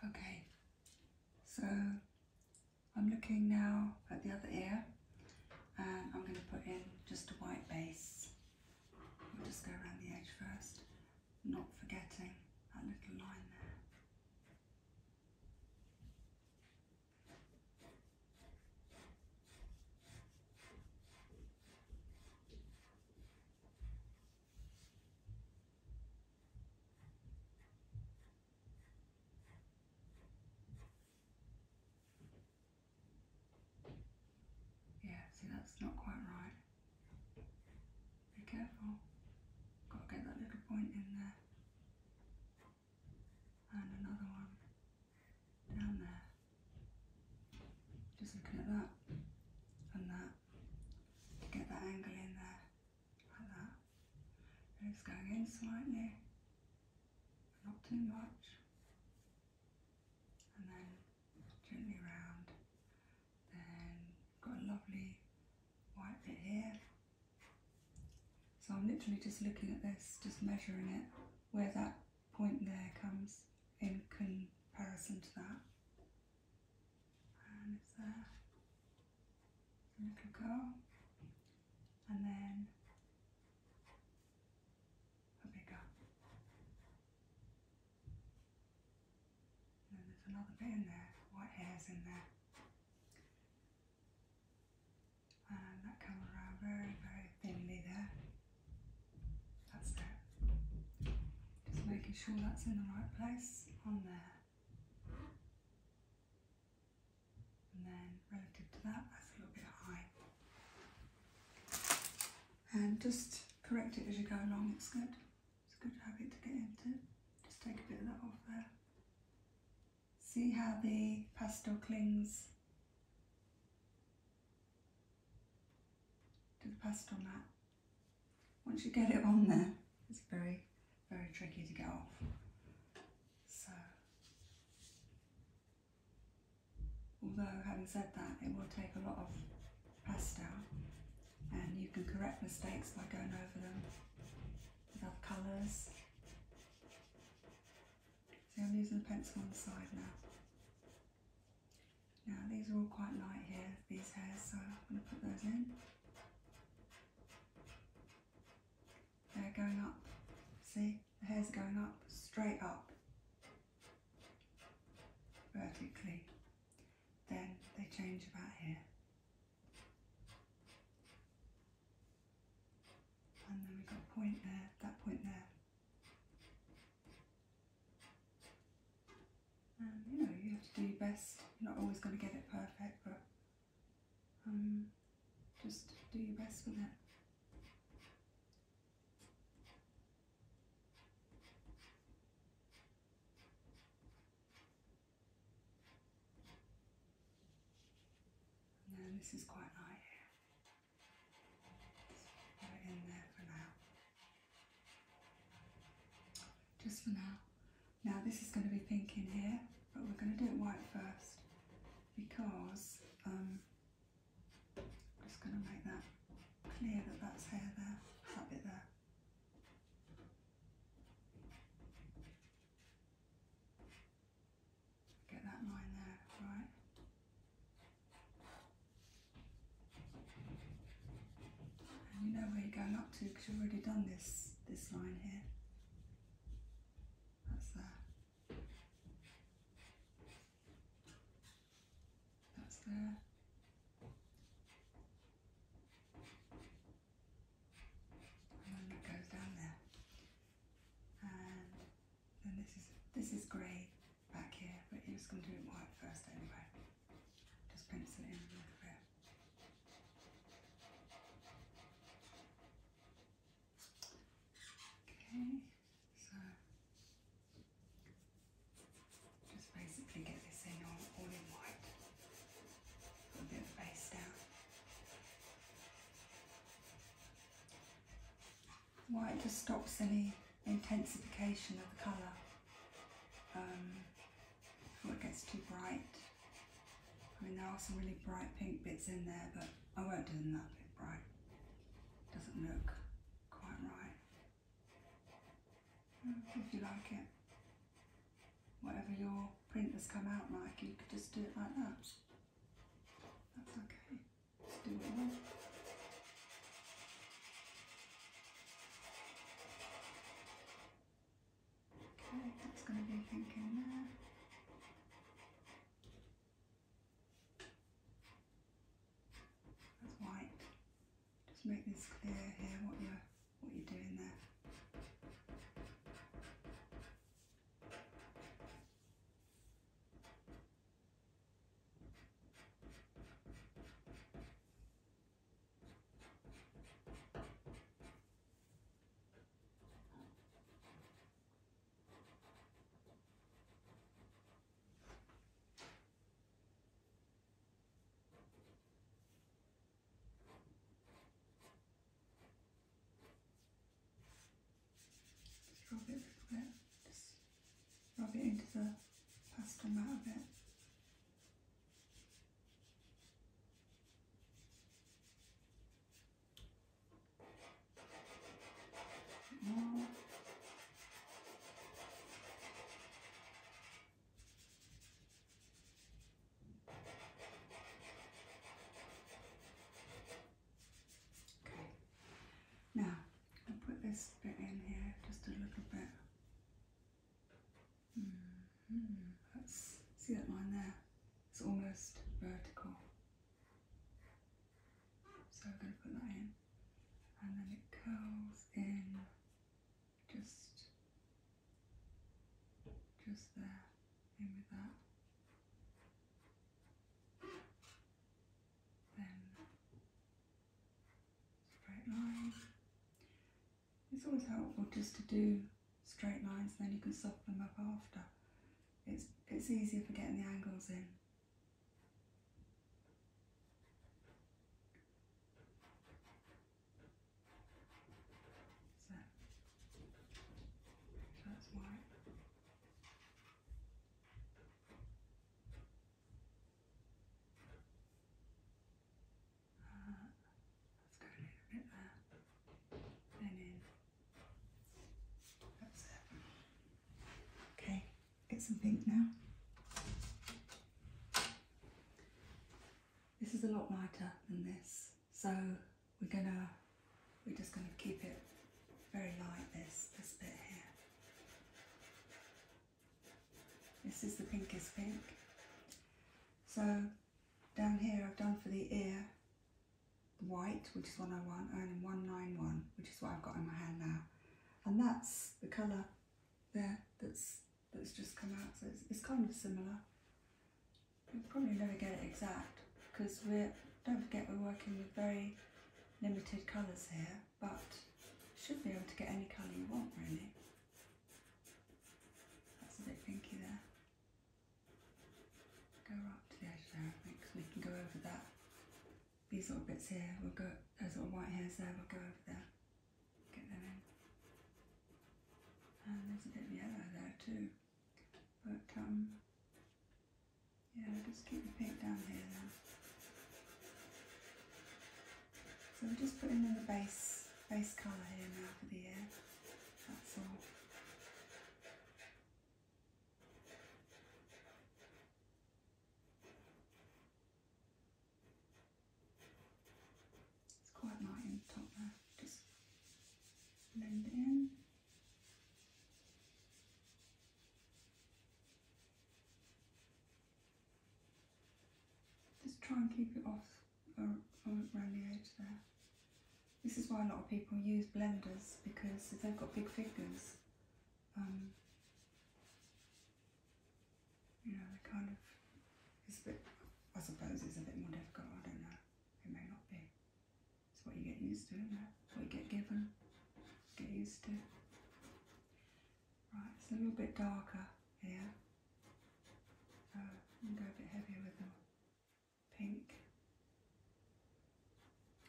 Okay, so I'm looking now at the other ear and I'm going to put in just a white base. We'll just go around the edge first, not forgetting that little line there. Yeah, see that's not quite right. Be careful. Got to get that little point in there. And another one down there. Just looking at that and that to get that angle in there like that. And it's going in slightly, not too much. And then gently round. Then got a lovely white bit here. So I'm literally just looking at this, just measuring it, where that point there comes in comparison to that. And it's there. Let it go. And then a bigger. then there's another bit there, What hairs in there. And that comes around very, very thinly there. That's it. Just making sure that's in the right place on there. And then relative to that, that's a little bit high. And just correct it as you go along, it's good. It's a good habit to get into. Just take a bit of that off there. See how the pastel clings to the pastel mat once you get it on there, it's very, very tricky to get off. So, although having said that, it will take a lot of pastel and you can correct mistakes by going over them with other colours. See, I'm using a pencil on the side now. Now these are all quite light here, these hairs, so I'm going to put those in. They're going up. See? The hair's going up, straight up, vertically. Then they change about here. And then we've got a point there, that point there. Um, you know, you have to do your best. You're not always going to get it perfect, but um, just do your best with it. And this is quite light here. it in there for now. Just for now. Now this is going to be pink in here, but we're going to do it white first because um, I'm just going to make that clear that that's hair there, that bit there. Get that line there, right? And you know where you're going up to because you've already done this this, line here. That's there. That's there. And then that goes down there. And then this is this is grey back here, but you're just gonna do it white first anyway. Just pencil in Okay, so just basically get this in all, in white. Put a bit of base down. White just stops any intensification of the colour. Um, it gets too bright. I mean, there are some really bright pink bits in there, but I won't do them that bit bright. Doesn't look quite right. Mm, if you like it, whatever your print has come out like, you could just do it like that. That's okay. Just do it Okay, that's going to be thinking there. That's white. Just make this clear here what you're what you're doing there. Rub it a little bit, just rub it into the pastel mat a bit. Okay, now I'll put this bit in here just a little bit. Mm-hmm. see that line there? It's almost vertical. So I'm going to put that in. And then it curls in just, just there, in with that. Then straight line. It's always helpful just to do straight lines then you can soften them up after. It's, it's easier for getting the angles in. So, that's white let's go a little bit there and in. That's it. Okay, get some pink now. This is a lot lighter than this, so we're gonna we're just gonna keep it very light this this bit here. This is the pinkest pink. So down here I've done for the ear white, which is 101, and 191, which is what I've got in my hand now. And that's the colour there that's that's just come out, so it's, kind of similar. you probably never get it exact, because we're, don't forget we're working with very limited colours here, but should be able to get any colour you want really. That's a bit pinky there. Go up to the edge there, I we can go over that. These little bits here, we'll go, those little white hairs there, we'll go over there. Get them in. And there's a bit of yellow there too. But, um, yeah, just keep the pink down here then. So we're just putting in the base, base colour here now for the ear. That's all. It's quite light in the top there. Just blend in. Just try and keep it off this is why a lot of people use blenders because they've got big figures. Um, you know, they kind of, it's a bit, I suppose it's a bit more difficult, I don't know, it may not be. It's what you get used to, is What you get given, get used to. Right, it's a little bit darker here. So, uh, go a bit heavier with them pink.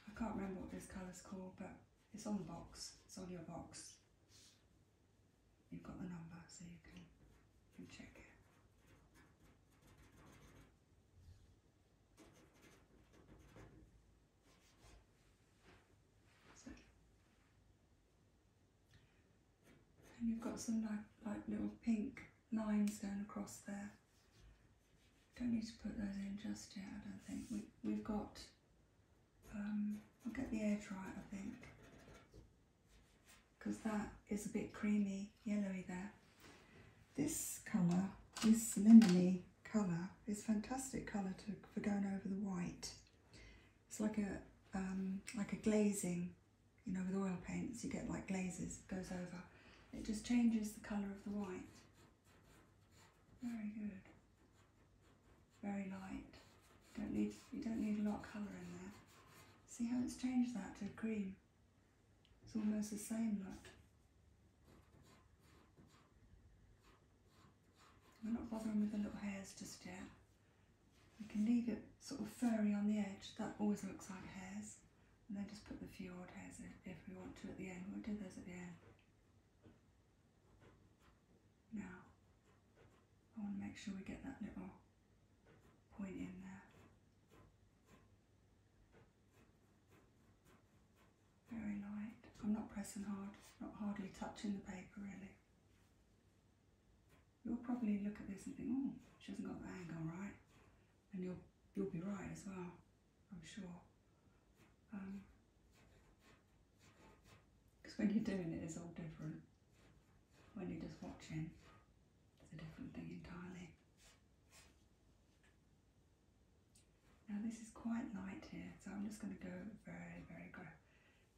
I can't remember what this colour's called, but it's on the box. It's on your box. You've got the number, so you can, check it. And you've got some like, little pink lines going across there. Don't need to put those in just yet, I don't think. We, have got, um, I'll get the edge right, I think. Because that is a bit creamy, yellowy there. This colour, this lemony colour, is fantastic colour to, for going over the white. It's like a, um, like a glazing you know, with oil paints, you get like glazes, it goes over. It just changes the colour of the white. Very good. Very light. Don't need, you don't need a lot of colour in there. See how it's changed that to green? It's almost the same, look. We're not bothering with the little hairs just yet. You can leave it sort of furry on the edge, that always looks like hairs, and then just put the few odd hairs if we want to at the end. We'll do those at the end. Now, I want to make sure we get that little point in there. Very light. I'm not pressing hard, not hardly touching the paper really you'll probably look at this and think, oh, she hasn't got the angle right. And you'll, you'll be right as well, I'm sure. Because um, when you're doing it, it's all different. When you're just watching, it's a different thing entirely. Now this is quite light here, so I'm just going to go very, very grow.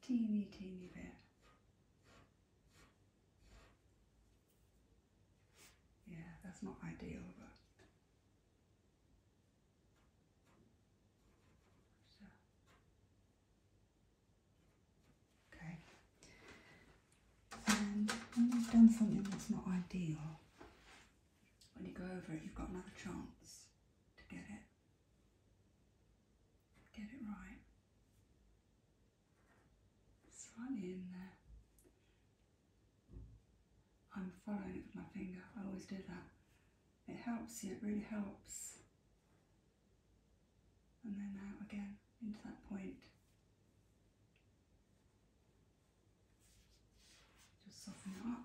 Teeny, teeny bit. Yeah, that's not ideal, Okay. And when you've done something that's not ideal, when you go over it, you've got another chance to get it. Get it right. It's funny in there. Uh, I'm following it with my finger, I always do that. It helps you, it really helps. And then out again into that point. Just soften up.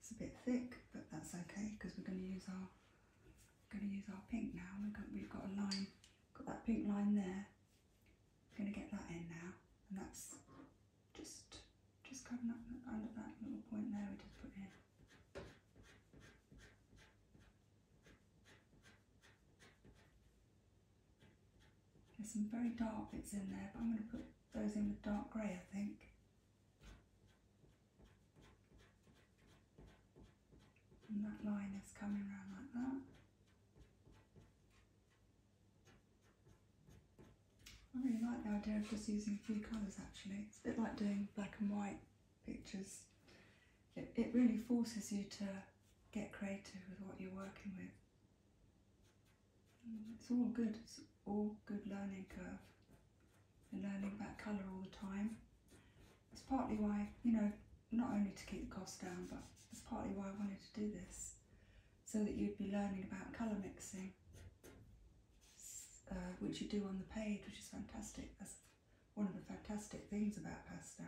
It's a bit thick, but that's okay because we're going to use our We're going to use our pink now. we've got a line got that pink line there. I'm going to get that in now, and that's just just covering up under that little point there we just put in. There's some very dark bits in there, but I'm going to put those in with dark grey, I think and that line is coming around like that. I really like the idea of just using a few colours actually. It's a bit like doing black and white pictures. It, really forces you to get creative with what you're working with. Mm, it's all good, it's all good learning curve. You're learning about colour all the time it's partly why, you know, not only to keep the cost down, but it's partly why I wanted to do this, so that you'd be learning about colour mixing, uh, which you do on the page, which is fantastic. That's one of the fantastic things about pastel.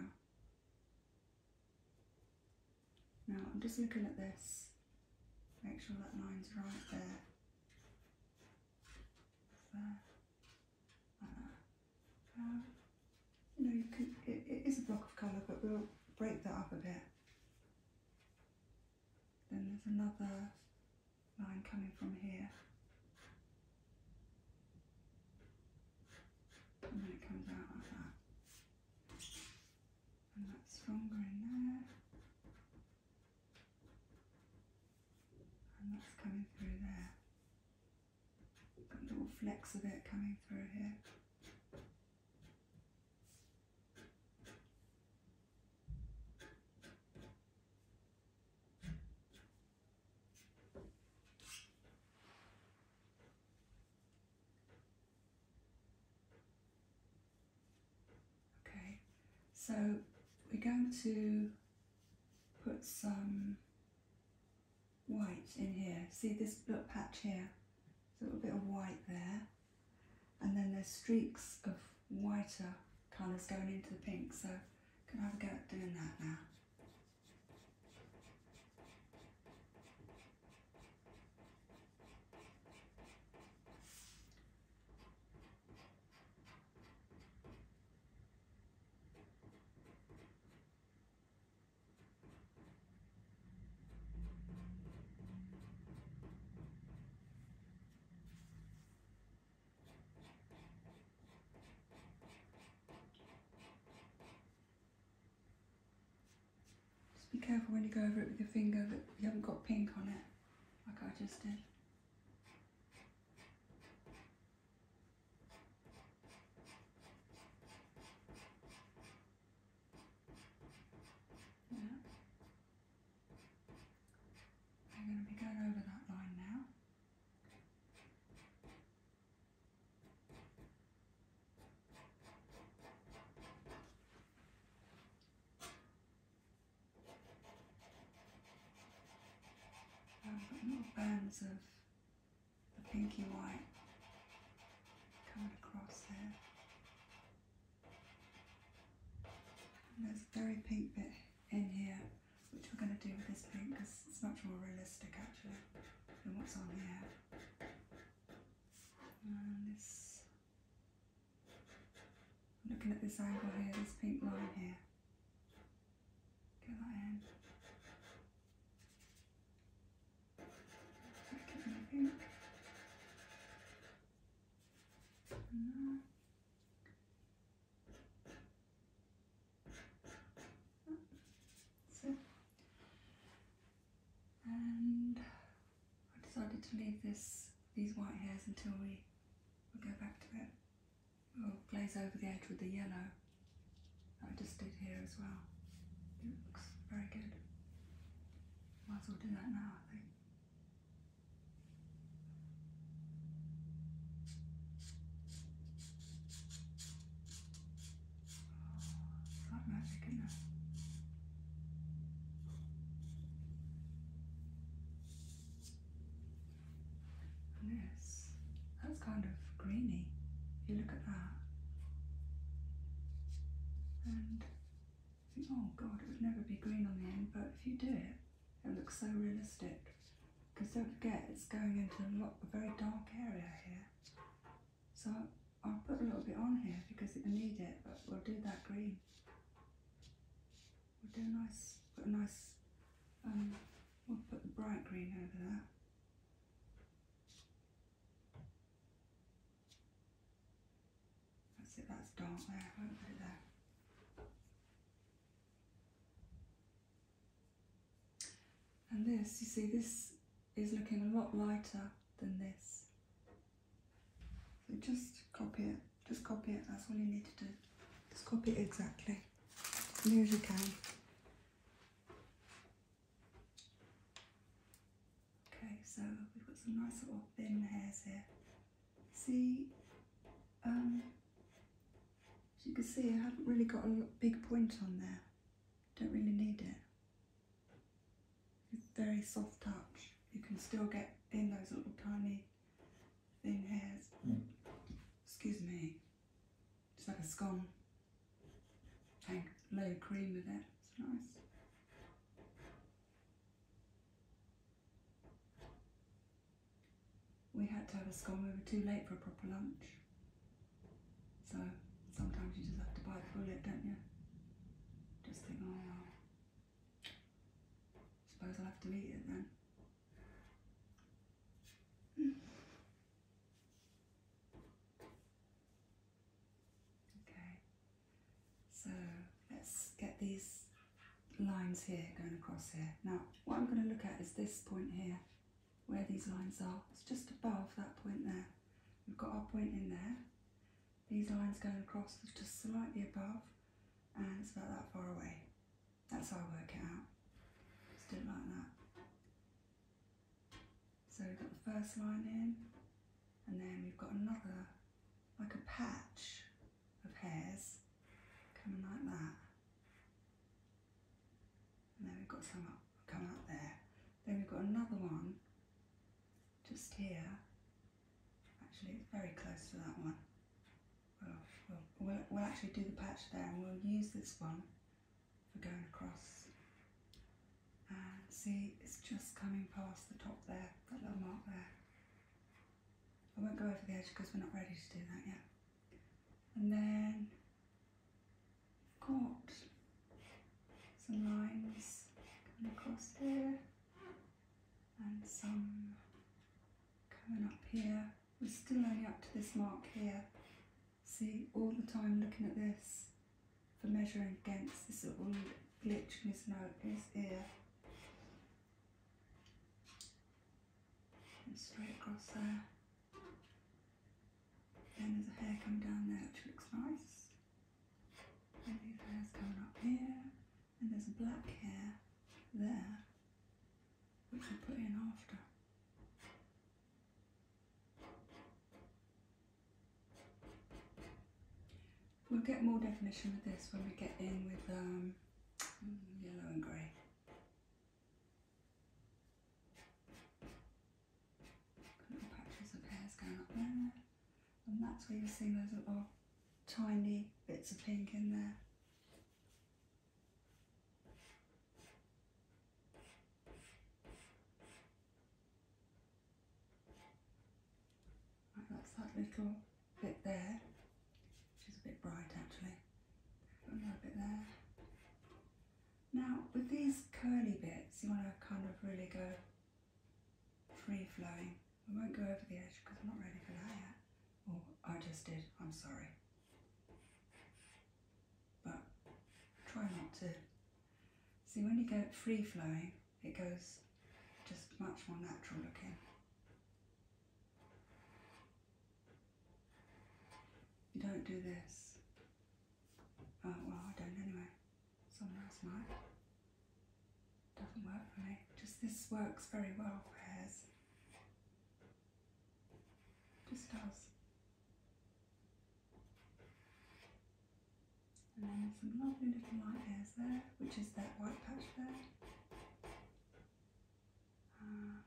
Now I'm just looking at this, make sure that line's right there. There. Uh, uh, you know, it is a block of colour, but we'll break that up a bit. Then there's another line coming from here. And then it comes out like that. And that's stronger in there. And that's coming through there little flex of it coming through here. Okay, so we're going to put some white in here. See this little patch here? There's a little bit of white there. And then there's streaks of whiter colours going into the pink. So can I have a go at doing that now? Just be careful when you go over it with your finger that you haven't got pink on it, like I just did. Yeah. I'm going to be going over that line now. I've got little bands of the pinky white coming across there. And there's a very pink bit in here, which we're going to do with this pink because it's much more realistic actually than what's on here. And this, looking at this angle here, this pink line here. Get that in. moving. And That's it. And I decided to leave this these white hairs until we, go back to it. We'll glaze over the edge with the yellow. I just did here as well. It looks very good. Might as well do that now, I think. Oh, it's like magic, is that's kind of greeny if you look at that. And oh god, it would never be green on the end, but if you do it, it looks so realistic. Because don't forget, it's going into a, very dark area here. So I'll put a little bit on here because it I need it, but we'll do that green. We'll do a nice, a nice, um, we'll put the bright green over there. That's it, that's dark there, I won't put it there. And this, you see, this is looking a lot lighter than this. So just copy it, just copy it, that's all you need to do. Just copy it exactly, near as you can. Okay, so we've got some nice little thin hairs here. See, um, as you can see, I haven't really got a big point on there. Don't really need it. very soft touch. You can still get in those little tiny thin hairs. Hmm. Excuse me. Just like a scone. Tank layer of cream with that. It's nice. We had to have a scone. We were too late for a proper lunch. So sometimes you just have to bite the bullet, don't you? Just think, oh, well, suppose I'll have to eat it then. Okay, so let's get these lines here going across here. Now, what I'm going to look at is this point here, where these lines are. It's just above that point there. We've got our point in there. These lines going across just slightly above, and it's about that far away. That's how I work it out. do it like that. So we've got the first line in and then we've got another, like a patch of hairs coming like that. And then we've got some up, come out there. Then we've got another one just here. Actually, it's very close to that one. we'll, we'll actually do the patch there and we'll use this one for going across. And uh, see, it's just coming past the top there, that little mark there. I won't go over the edge because we're not ready to do that yet. And then I've got some lines coming across here and some coming up here. We're still only up to this mark here. See, all the time looking at this for measuring against this little glitch in his, note, his ear. And straight across there. Then there's a hair coming down there which looks nice. And hairs coming up here. And there's a black hair there which we put in after. We'll get more definition with this when we get in with um, yellow and grey. Little patches of hairs going up there. And that's where you're seeing those little tiny bits of pink in there that's that little bit there, which is a bit bright actually. Another bit there. Now with these curly bits, you want to kind of really go free flowing. I won't go over the edge because I'm not ready for that yet. Oh, I just did, I'm sorry but try not to. See, when you get free flowing, it goes just much more natural looking. You don't do this. Oh, well, I don't anyway. Someone else might. Doesn't work for me. Just this works very well for hairs. Just does. And then some lovely little light hairs there, which is that white patch there. Uh,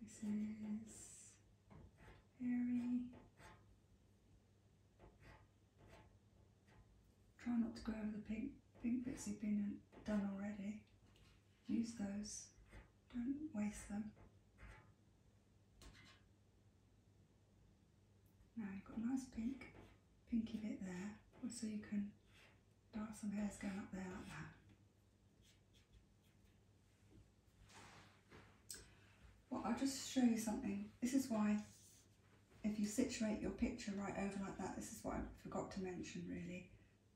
this is hairy. Try not to go over the pink, pink bits you've been done already. Use those, don't waste them. Now you've got a nice pink, pinky bit there, so you can dark some hairs going up there like that. Well, I'll just show you something. This is why if you situate your picture right over like that, this is what I forgot to mention really.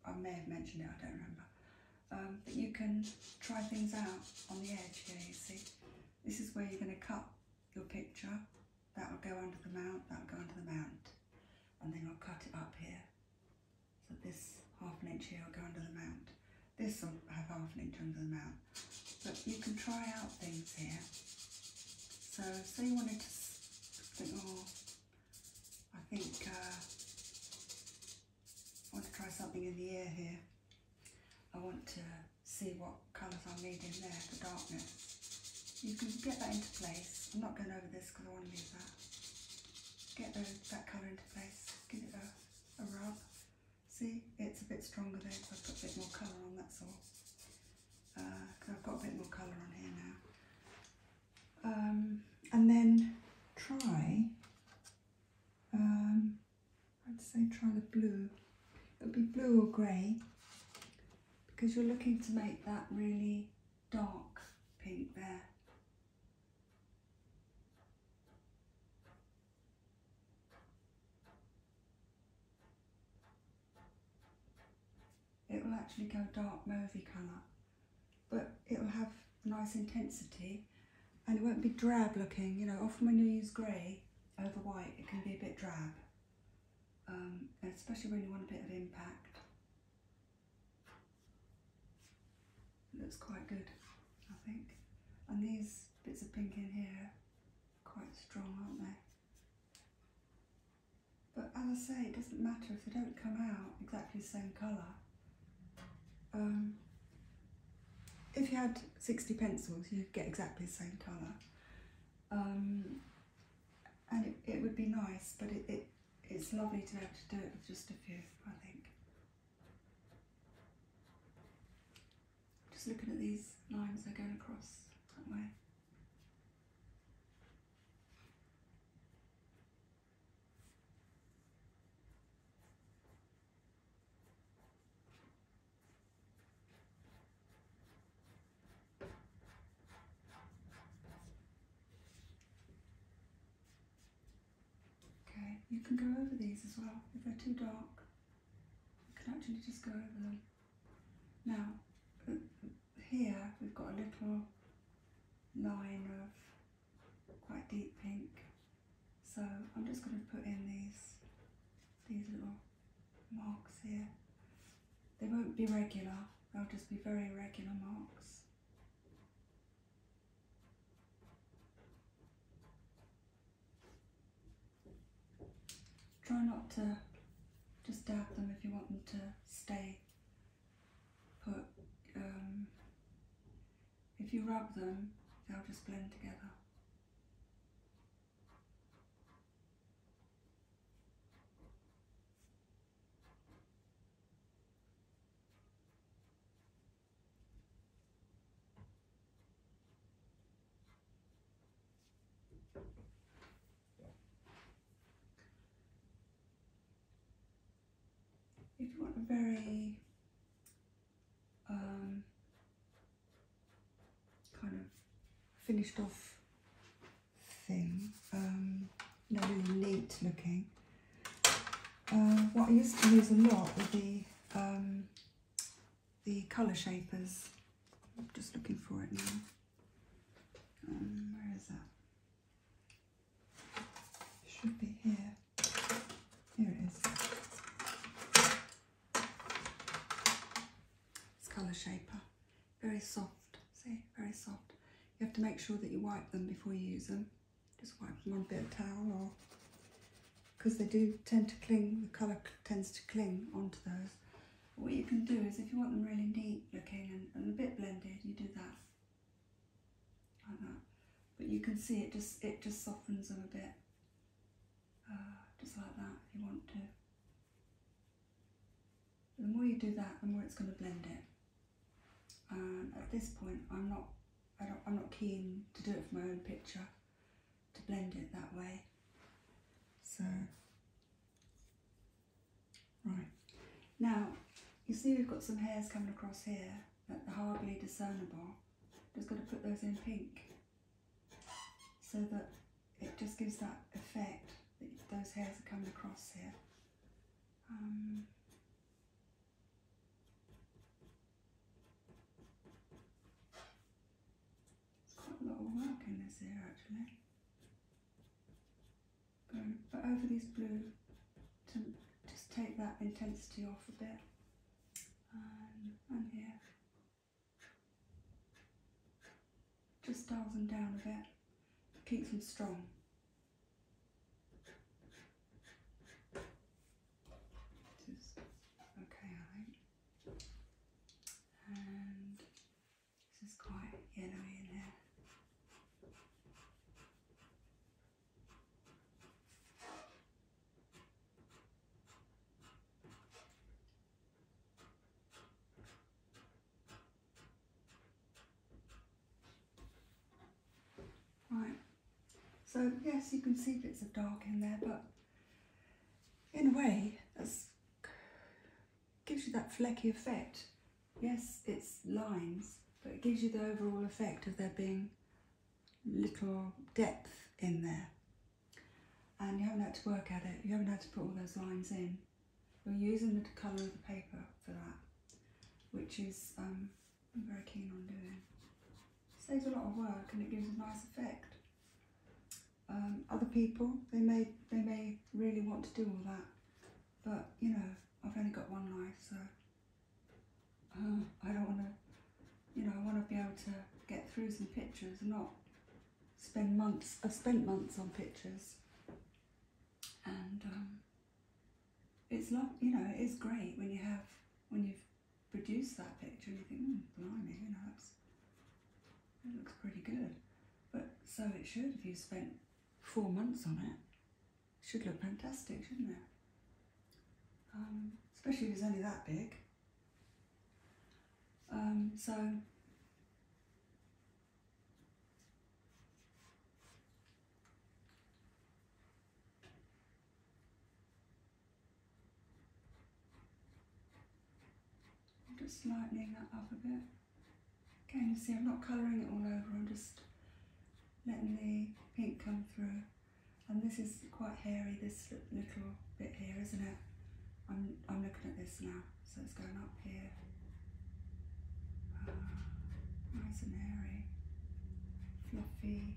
I may have mentioned it, I don't remember but um, you can try things out on the edge here, you see. This is where you're going to cut your picture. That will go under the mount, that will go under the mount. And then I'll cut it up here. So this half an inch here will go under the mount. This will have half an inch under the mount. But you can try out things here. So say you wanted to think, oh, I think uh, I want to try something in the air here. I want to see what colours I need in there for darkness. You can get that into place. I'm not going over this because I want to leave that. Get that colour into place, give it a, a rub. See, it's a bit stronger there I've got a bit more colour on, that's all. Because uh, I've got a bit more colour on here now. Um, and then try um, I'd say try the blue. It'll be blue or grey because you're looking to make that really dark pink there. It will actually go dark mauvey colour but it'll have nice intensity and it won't be drab looking. You know, often when you use grey over white, it can be a bit drab, um, especially when you want a bit of impact. looks quite good, I think. And these bits of pink in here quite strong, aren't they? But as I say, it doesn't matter if they don't come out exactly the same colour. Um, if you had 60 pencils, you'd get exactly the same colour. Um, and it, would be nice, but it, it's lovely to be able to do it with just a few, I think. Just looking at these lines they're going across that way. Okay, you can go over these as well if they're too dark. You can actually just go over them. Now, uh, here we've got a little line of quite deep pink. So I'm just going to put in these, these little marks here. They won't be regular, they'll just be very regular marks. Try not to just dab them if you want them to stay put um, if you rub them, they'll just blend together if you want a very um, kind of finished off thing, um, not really neat looking, uh, what I used to use a lot were the um, the colour shapers. I'm just looking for it now. Um, where is that? It should be here. Here it is. It's color shaper. Very soft. See, very soft. You have to make sure that you wipe them before you use them. Just wipe them on a bit of towel or because they do tend to cling, the colour tends to cling onto those. What you can do is if you want them really neat looking and a bit blended, you do that. But you can see it just it just softens them a bit, uh, just like that if you want to. The more you do that, the more it's going to blend it. And at this point, I'm not I'm not keen to do it for my own picture, to blend it that way. So, right. Now, you see we've got some hairs coming across here but hardly discernible. Just going to put those in pink so that it just gives that effect that those hairs are coming across here. Um, it's quite a lot of work in this here actually. but over these blue to just take that intensity off a bit and on here. Just dials them down a bit, keeps them strong. Just okay, I think. And this is quite yellowy in here. Right, so yes, you can see bits of dark in there, but in a way, that gives you that flecky effect. Yes, it's lines, but it gives you the overall effect of there being little depth in there. And you haven't had to work at it, you haven't had to put all those lines in. You're using the colour of the paper for that, which is um, I'm very keen on doing. saves a lot of work and it gives a nice effect. Um, other people, they may, they may really want to do all that, but you know, I've only got one life, so Oh, I don't want to, you know, I want to be able to get through some pictures, not spend months. I've spent months on pictures, and um, it's you know, it is great when you have when you've produced that picture and you think, mm, blimey, you know, that's, that looks pretty good. But so it should if you have spent four months on it should look fantastic, shouldn't it? Um, especially if it's only that big. Um, so just lightening that up a bit. Again, you see I'm not colouring it all over, I'm just letting the pink come through. And this is quite hairy, this little bit here, isn't it? I'm, I'm looking at this now, so it's going up here. Ah, nice and hairy, fluffy.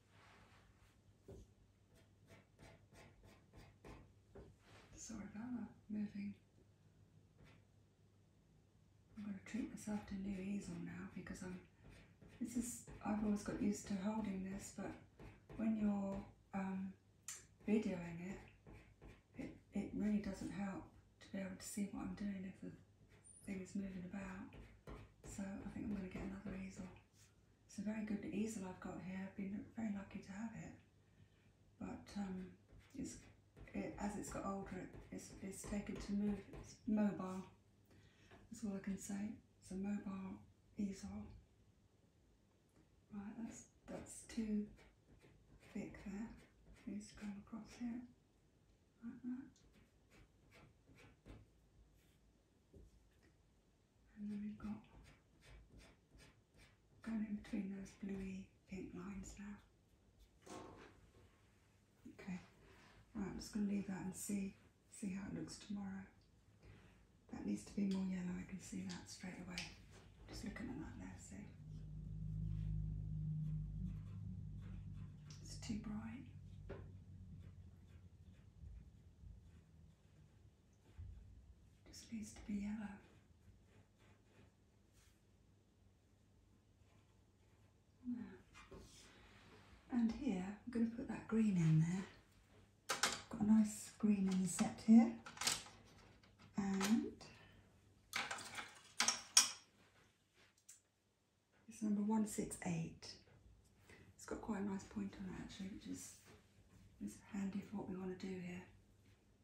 Sorbella moving. I'm going to treat myself to new easel now because I'm. This is. I've always got used to holding this, but when you're um, videoing it, it, it really doesn't help to be able to see what I'm doing if things moving about. So I think I'm going to get another easel. It's a very good easel I've got here. I've been very lucky to have it. But um, as it's got older, it's, it's taken to move. It's mobile. That's all I can say. It's a mobile easel. Right, that's, that's too thick there. It needs to across here, like that. And then we've got going in between those bluey pink lines now. Okay, right, I'm just going to leave that and see, see how it looks tomorrow. That needs to be more yellow, I can see that straight away. Just looking at that there, see? It's too bright. Just needs to be yellow. And here, I'm going to put that green in there. Got a nice green in the set here. And it's number 168. It's got quite a nice point on it actually, which is, is handy for what we want to do here.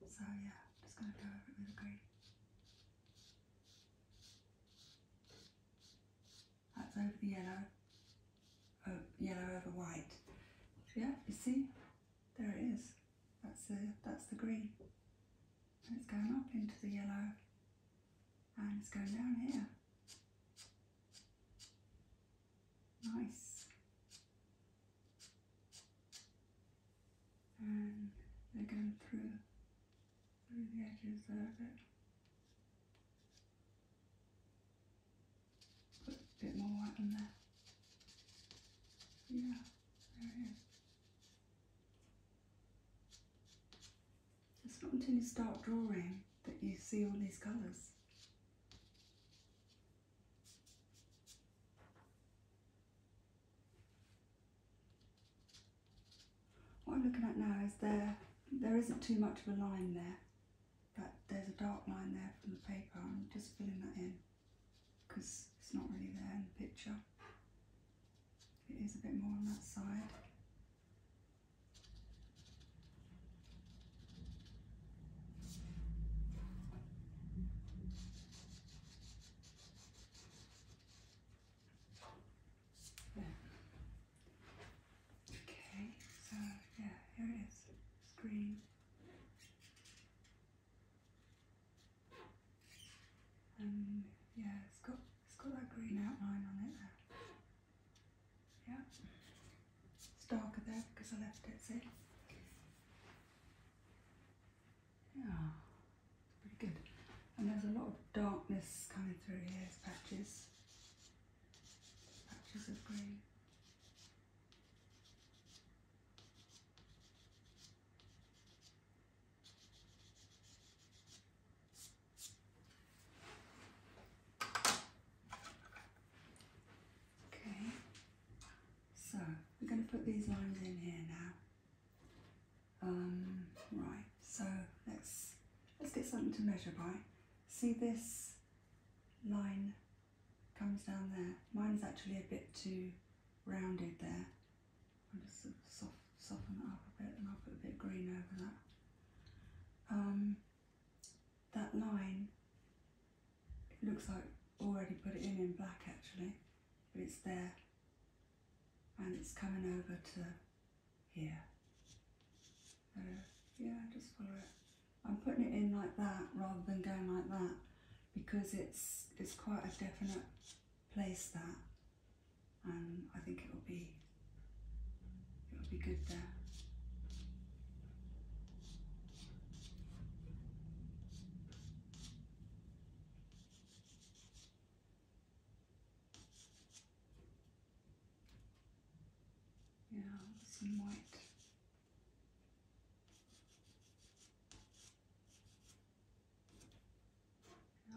So yeah, I'm just going to go over it with green. That's over the yellow, uh, yellow over white. Yeah, you see, there it is. That's the, that's the green. it's going up into the yellow and it's going down here. Nice. And they through, through the edges there a Put a bit more white there. Yeah, there it is. It's not until you start drawing that you see all these colours. What I'm looking at now is there, there isn't too much of a line there, but there's a dark line there from the paper. I'm just filling that in because it's not really there in the picture. It is a bit more on that side. Okay, so yeah, here it is. green. Um, yeah, it it's got that green outline on it there. Yeah. It's darker there because I left it, see? Yeah, it's pretty good. And there's a lot of darkness coming through here, as patches. Patches of green. Okay, so we're going to put these lines in here now. Um, right, so let's let's get something to measure by. See this line comes down there. Mine's actually a bit too rounded there. I'll just soften it up a bit and I'll put a bit green over that. Um, that line looks like already put it in in black actually, but it's there and it's coming over to here. yeah, just follow it. I'm putting it in like that rather than going like that because it's it's quite a definite place that and um, I think it will be it will be good there. Yeah, some white. Yeah.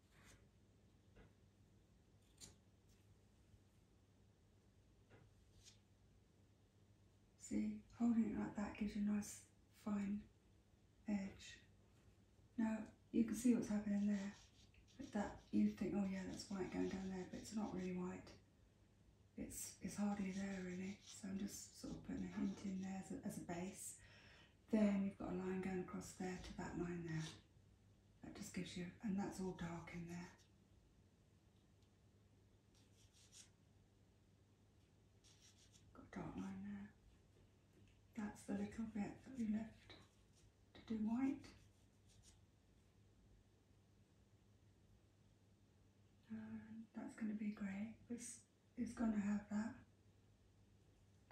See, holding it like that gives you a nice fine edge. Now, you can see what's happening there. But that, you think, oh yeah, that's white going down there, but it's not really white. It's, it's hardly there really, so I'm just sort of putting a hint in there as a base. Then you've got a line going across there to that line there. That just gives you, and that's all dark in there. Got a dark line there. That's the little bit that we left to do white. that's going to be grey, which is going to have that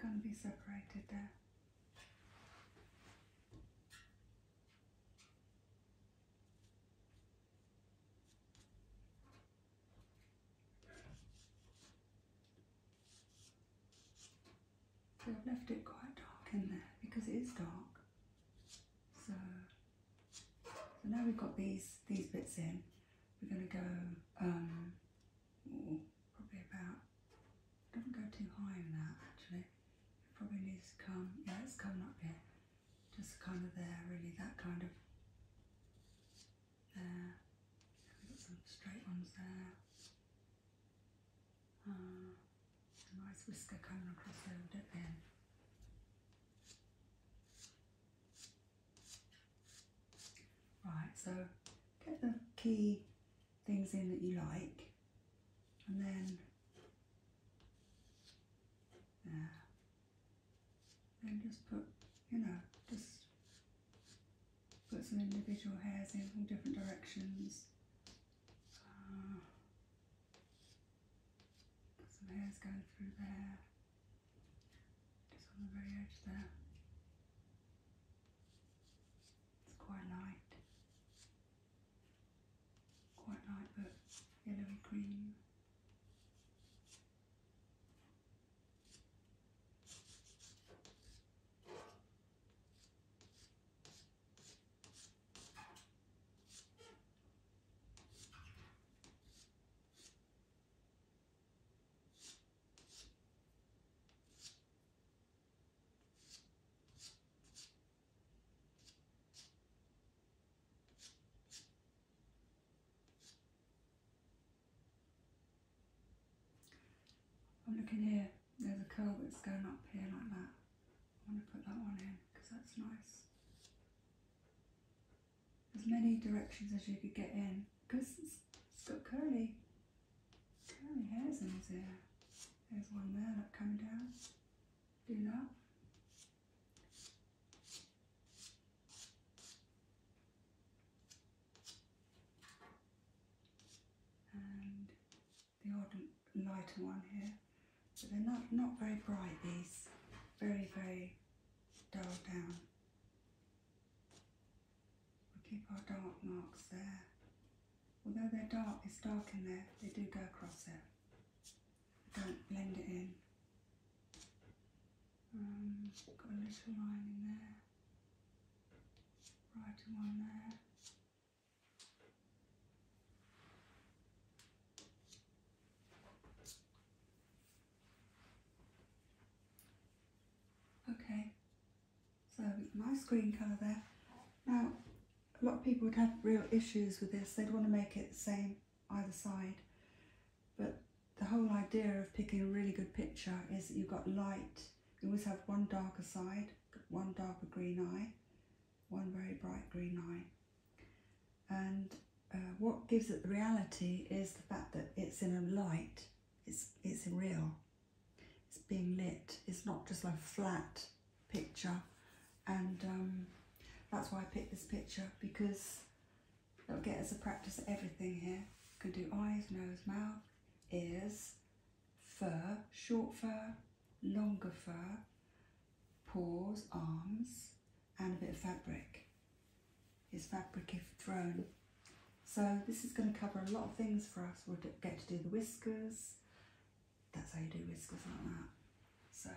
going to be separated there. So I've left it quite dark in there because it is dark. So, so now we've got these these bits in. We're going to go um, probably about it doesn't go too high in that actually. It probably needs to come, yeah, it's coming up here. Just kind of there, really, that kind of there. some straight ones there. Ah, a nice whisker coming across there with bit. then. Right, so get the key things in that you like and then Then just put, you know, just put some individual hairs in from different directions. Ah. some hairs going through there, just on the very edge there. It's quite light. Quite light but yellowy green. I'm looking here, there's a curl that's going up here like that. I want to put that one in because that's nice. As many directions as you could get in because it's, it's got curly Really has in his hair. There's one there up coming down. Do that. And the odd lighter one here. But they're not, not very bright, these. Very, very dull down. We keep our dark marks there. Although they're dark, it's dark in there, they do go across there. Don't blend it in. Um, got a little line in there. Brighter one there. Okay, so nice green colour there. Now, a lot of people would have real issues with this. They'd want to make it the same either side. But the whole idea of picking a really good picture is that you've got light. You always have one darker side, one darker green eye, one very bright green eye. And uh, what gives it the reality is the fact that it's in a light, it's, it's real it's being lit. It's not just a flat picture. And um, that's why I picked this picture because it'll get us a practice at everything here. You can do eyes, nose, mouth, ears, fur, short fur, longer fur, paws, arms, and a bit of fabric. It's fabric if thrown so this is going to cover a lot of things for us. We'll get to do the whiskers. That's how you do whiskers like that. So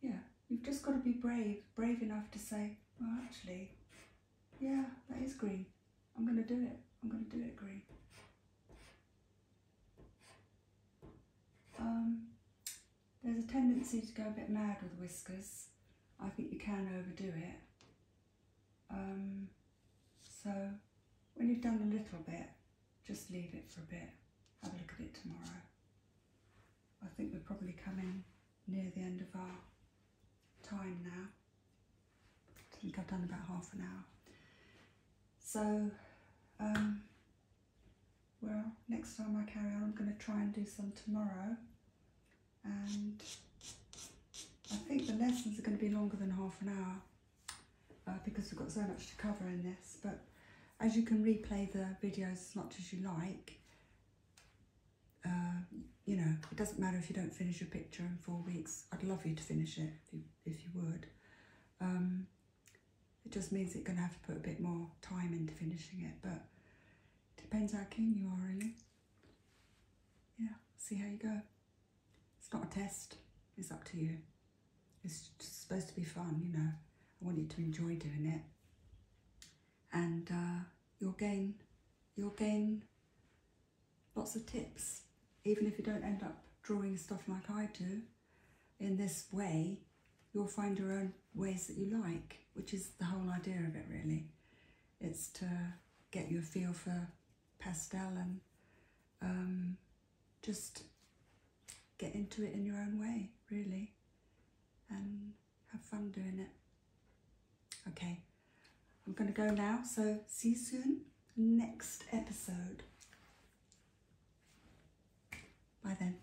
yeah, you've just got to be brave, brave enough to say, well actually, yeah, that is green. I'm going to do it. I'm going to do it green. Um, there's a tendency to go a bit mad with whiskers. I think you can overdo it. Um, so when you've done a little bit, just leave it for a bit. Have a look at it tomorrow. I think we're probably coming near the end of our time now. I think I've done about half an hour. So, um, well, next time I carry on, I'm going to try and do some tomorrow and I think the lessons are going to be longer than half an hour uh, because we've got so much to cover in this but as you can replay the videos as much as you like uh, you know it doesn't matter if you don't finish your picture in four weeks I'd love you to finish it if you, would um, it just means you're going to have to put a bit more time into finishing it but depends how keen you are really yeah see how you go it's not a test. It's up to you. It's supposed to be fun, you know. I want you to enjoy doing it. And uh, you'll gain, you'll gain lots of tips. Even if you don't end up drawing stuff like I do, in this way, you'll find your own ways that you like, which is the whole idea of it really. It's to get you a feel for pastel and um, just get into it in your own way, really, and have fun doing it. Okay, I'm going to go now, so see you soon, next episode. Bye then.